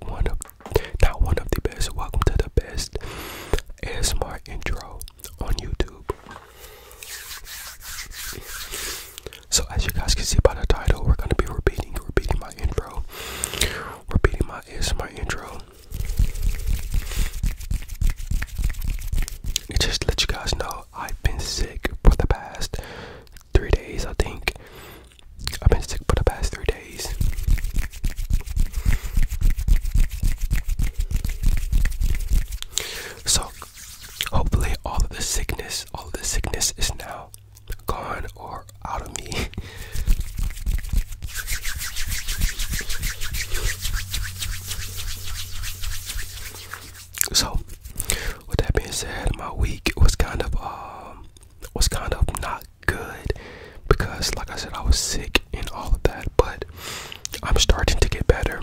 one of not one of the best. Welcome to the best ASMR intro on YouTube. So as you guys can see by the title, we're gonna be repeating, repeating my intro, repeating my ASMR intro. just let you guys know I've been sick for the past three days, I think. I've been sick for the past three days. So hopefully all of the sickness, all the sickness is now gone or out of me. So with that being said, my week was kind of um, was kind of not good because, like I said, I was sick and all of that, but I'm starting to get better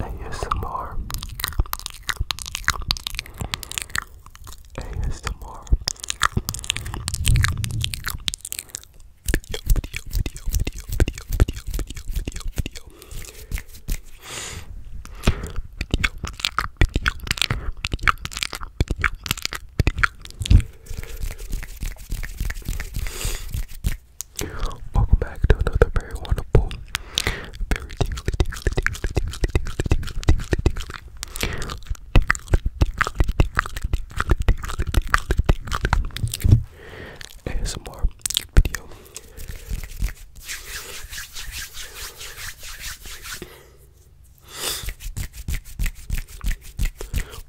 and ASMR some more. video video video video Welcome back to another very wonderful very tingly, tingly, tingly, tingly, tingly, tingly, tingly, tingly. ASMR video.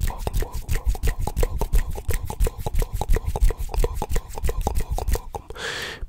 Welcome, welcome, welcome, welcome, welcome, welcome, welcome, welcome, welcome, welcome, welcome, welcome, welcome, welcome, welcome, welcome,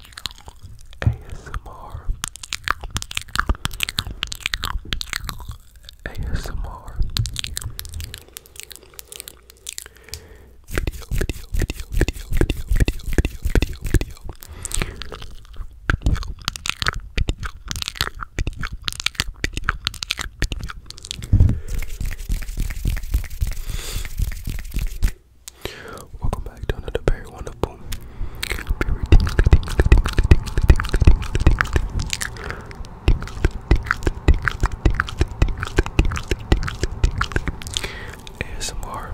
ASMR ASMR video video video video video video video video video video video video Welcome back to another very wonderful, very ASMR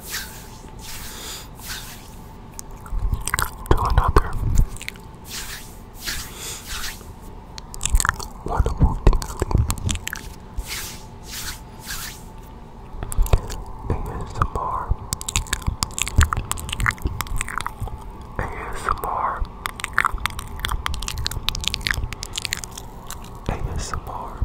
to another wonderful tingly ASMR ASMR ASMR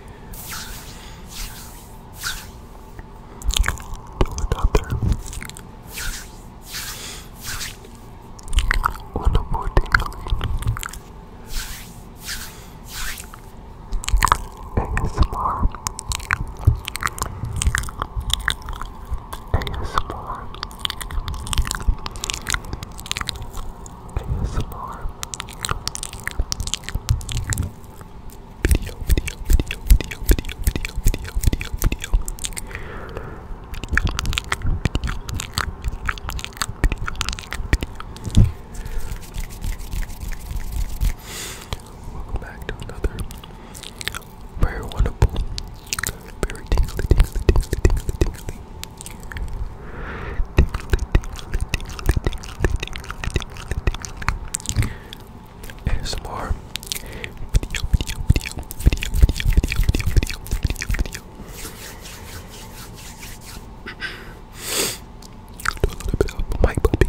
it out there. One more ASMR. ASMR. ASMR video, video, video, video, video, video, video, video, video. Welcome back to another very wonderful, very tingly, tingly, tingly, tingly, tingly ASMR video, video, video, video, video, video, video, video, video, video. Do a little bit of mic bumping.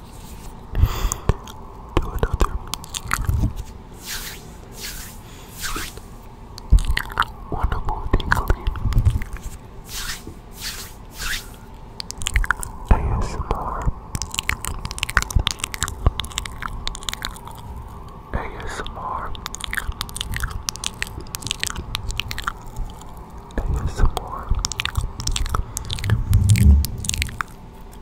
to another wonderful tingly ASMR ASMR ASMR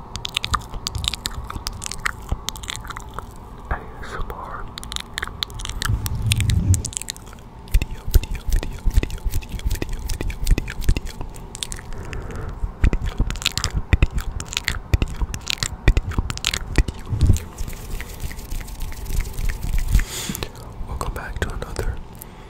ASMR video, video, video, video, video, video, video, video, video, video, video, video, video. Welcome back to another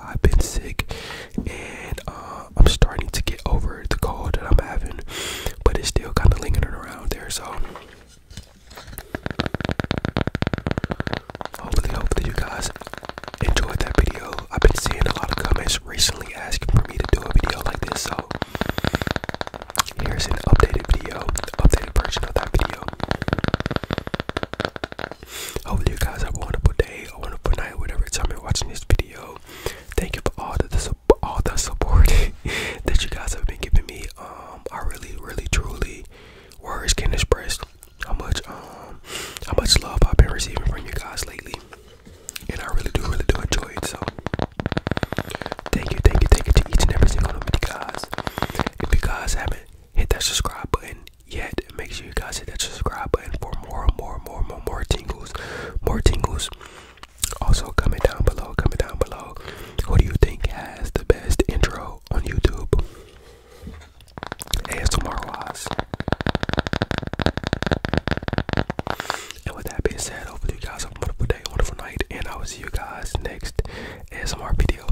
I've been sick and uh, I'm starting to get over the cold that I'm having, but it's still kind of lingering around there. So hopefully, hopefully you guys enjoyed that video. I've been seeing a lot of comments recently asking for me to do a video like this, so here's an updated video, updated version of that video. Hopefully you guys have a wonderful day, a wonderful night, whatever time you're watching this video. Thank you for all the, the all the support that you guys have been giving me. Um, I really, really, truly, words can express how much um how much love I've been receiving from you guys lately, and I really do, really do enjoy it. So thank you, thank you, thank you to each and every single one of you guys. If you guys haven't hit that subscribe button yet. Make sure you guys hit that subscribe button for more, and more, and more, and more, more tingles, more tingles. Also, comment down below, comment down below. Who do you think has the best intro on YouTube? ASMR wise. And with that being said, hopefully you guys have a wonderful day, wonderful night, and I will see you guys next ASMR video.